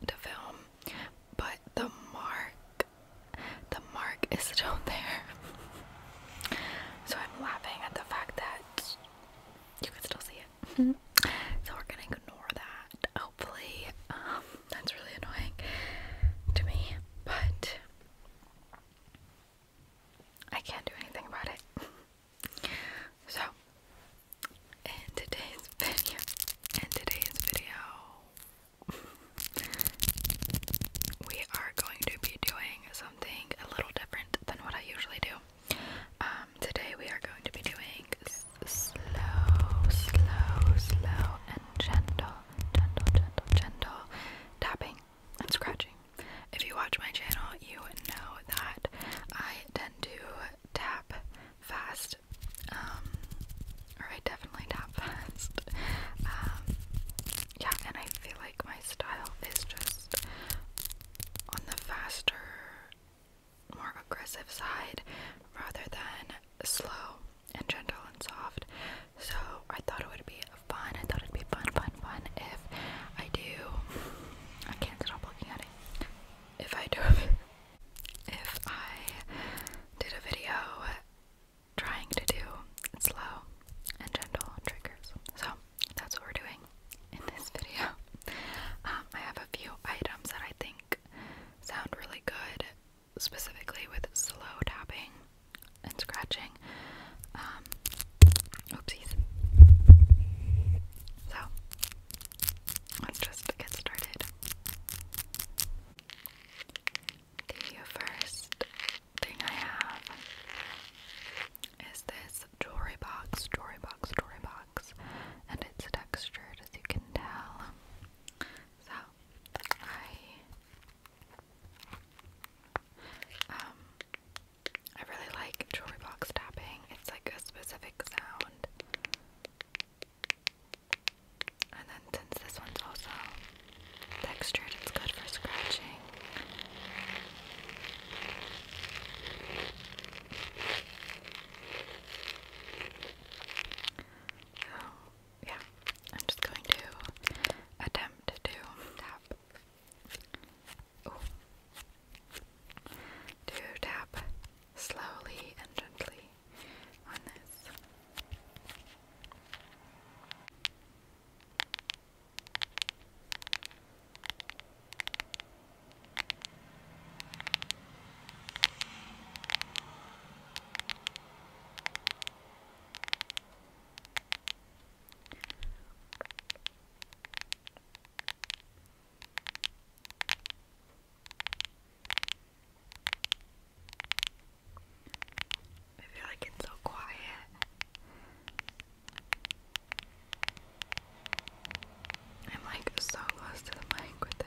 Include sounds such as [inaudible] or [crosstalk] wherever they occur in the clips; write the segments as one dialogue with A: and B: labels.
A: the film, but the mark, the mark is still [laughs] there. So I'm laughing at the fact that you can still see it. [laughs] so we're gonna ignore that. Hopefully, um, that's really annoying to me, but I can't do anything about it. So, in today's video, [laughs] we are going to be doing something a little different than what I usually do. Um, today we are going to be doing slow, slow, slow, and gentle, gentle, gentle, gentle tapping and scratching. If you watch my channel, you know that I tend to tap fast, um, or I definitely tap fast. Um, yeah, and I feel like my style is just on the faster, more aggressive side rather than slow and gentle and soft. So I thought it would be fun. I thought it'd be fun, fun, fun if I do. I can't stop looking at it. If I do [laughs] if I did a video trying to do slow and gentle triggers. So that's what we're doing in this video. Um, I have a few items that I think sound really good, specifically with slow tapping and scratching. Um, oopsies. So let's just get started. The first thing I have is this jewelry box, jewelry box, jewelry box, and it's textured as you can tell. So I um I really like jewelry box tapping. It's like a specific sound and then since this one's also textured, it's good for scratching. So, yeah, I'm just going to attempt to tap to tap slowly and gently on this. I feel like it's so quiet. I'm like so close to the mic with it.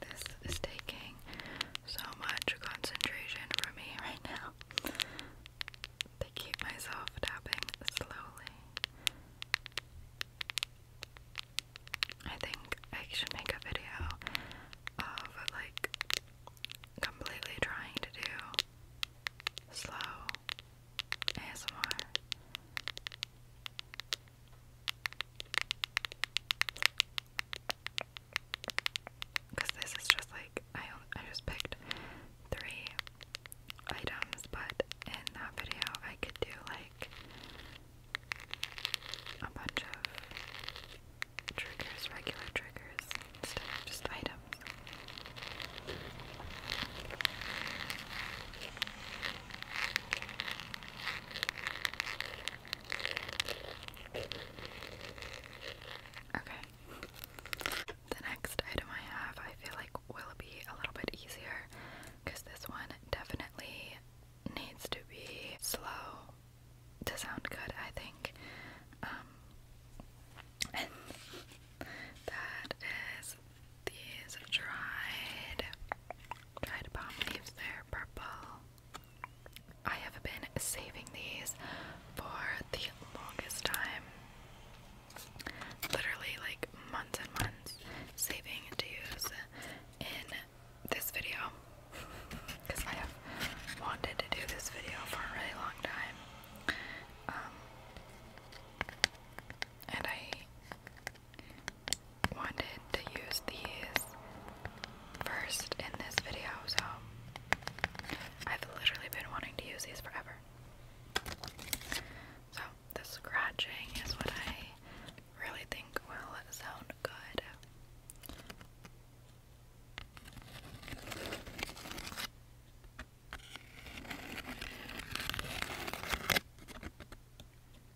A: This is taking so much concentration from me right now. To keep myself tapping slowly. I think I should make a video of like completely trying to do slow ASMR. Because this is just like I I just picked three items, but in that video I could do like a bunch of triggers, regular triggers instead of just items. Okay. The next item I have, I feel like will be a little bit easier because this one definitely needs to be slow to sound good, I think. Um, and that is these dried, dried palm leaves, they're purple. I have been saving these for the longest time. Literally, like months and months, saving to use in this video. Because [laughs] I have wanted to do this video for a really long time. Um, and I wanted to use these first in this video, so I've literally been wanting to use these forever. So, the scratching is what I really think will sound good.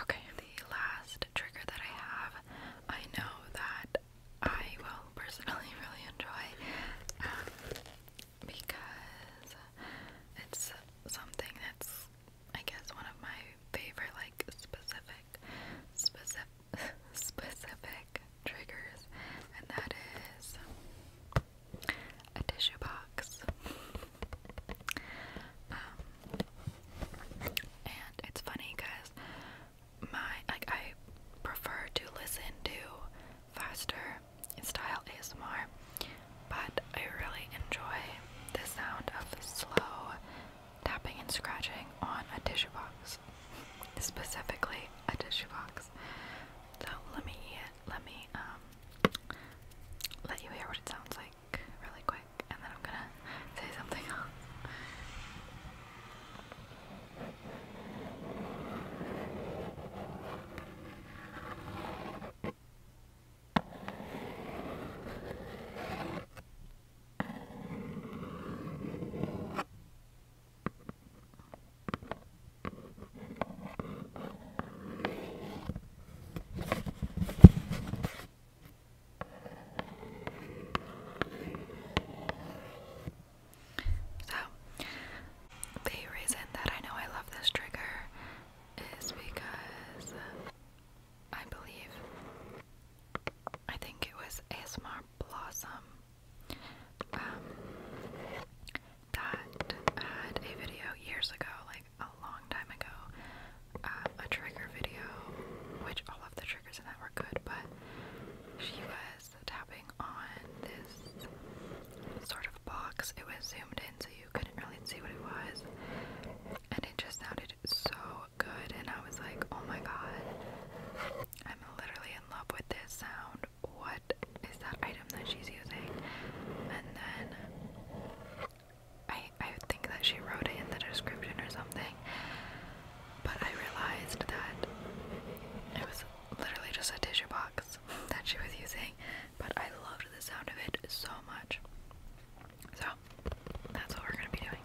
A: Okay, the last trigger that I have, I know that I will personally [laughs] really enjoy um, because it's something that's, I guess, one of my favorite, like, specific, specific specific triggers, and that is a tissue box. Um, and it's funny because my like I prefer to listen to faster style ASMR, but I really enjoy the sound of slow tapping and scratching on a tissue box specifically a tissue box. So let me let me um, let you hear what it sounds like really quick, and then I'm gonna say something else. So, the reason that I know I love this trigger is because I believe I think it was ASMR Blossom um, that had a video years ago, like a long time ago, um, a trigger video, which all of the triggers in that were good, but she was tapping on this sort of box. It was zoomed in so you couldn't really see what it was, and it just sounded so good, and I was like, oh my god, I'm literally in love with this sound. What is that item that she's using? And then I I think that she wrote it in the description or something. But I realized that it was literally just a tissue box [laughs] that she was using. But I loved the sound of it so much. So that's what we're gonna be doing.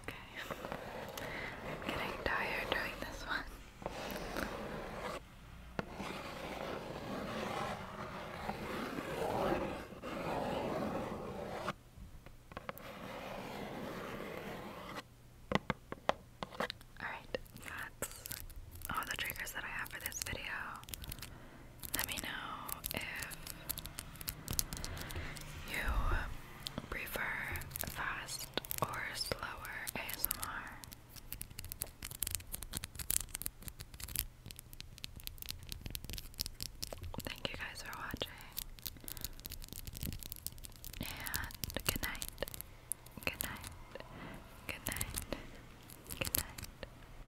A: Okay, I'm getting tired doing this one. Alright, that's all the triggers that I have for this video. Let me know if you prefer fast or slower ASMR. Thank you guys for watching. And good night. Good night. Good night. Good night.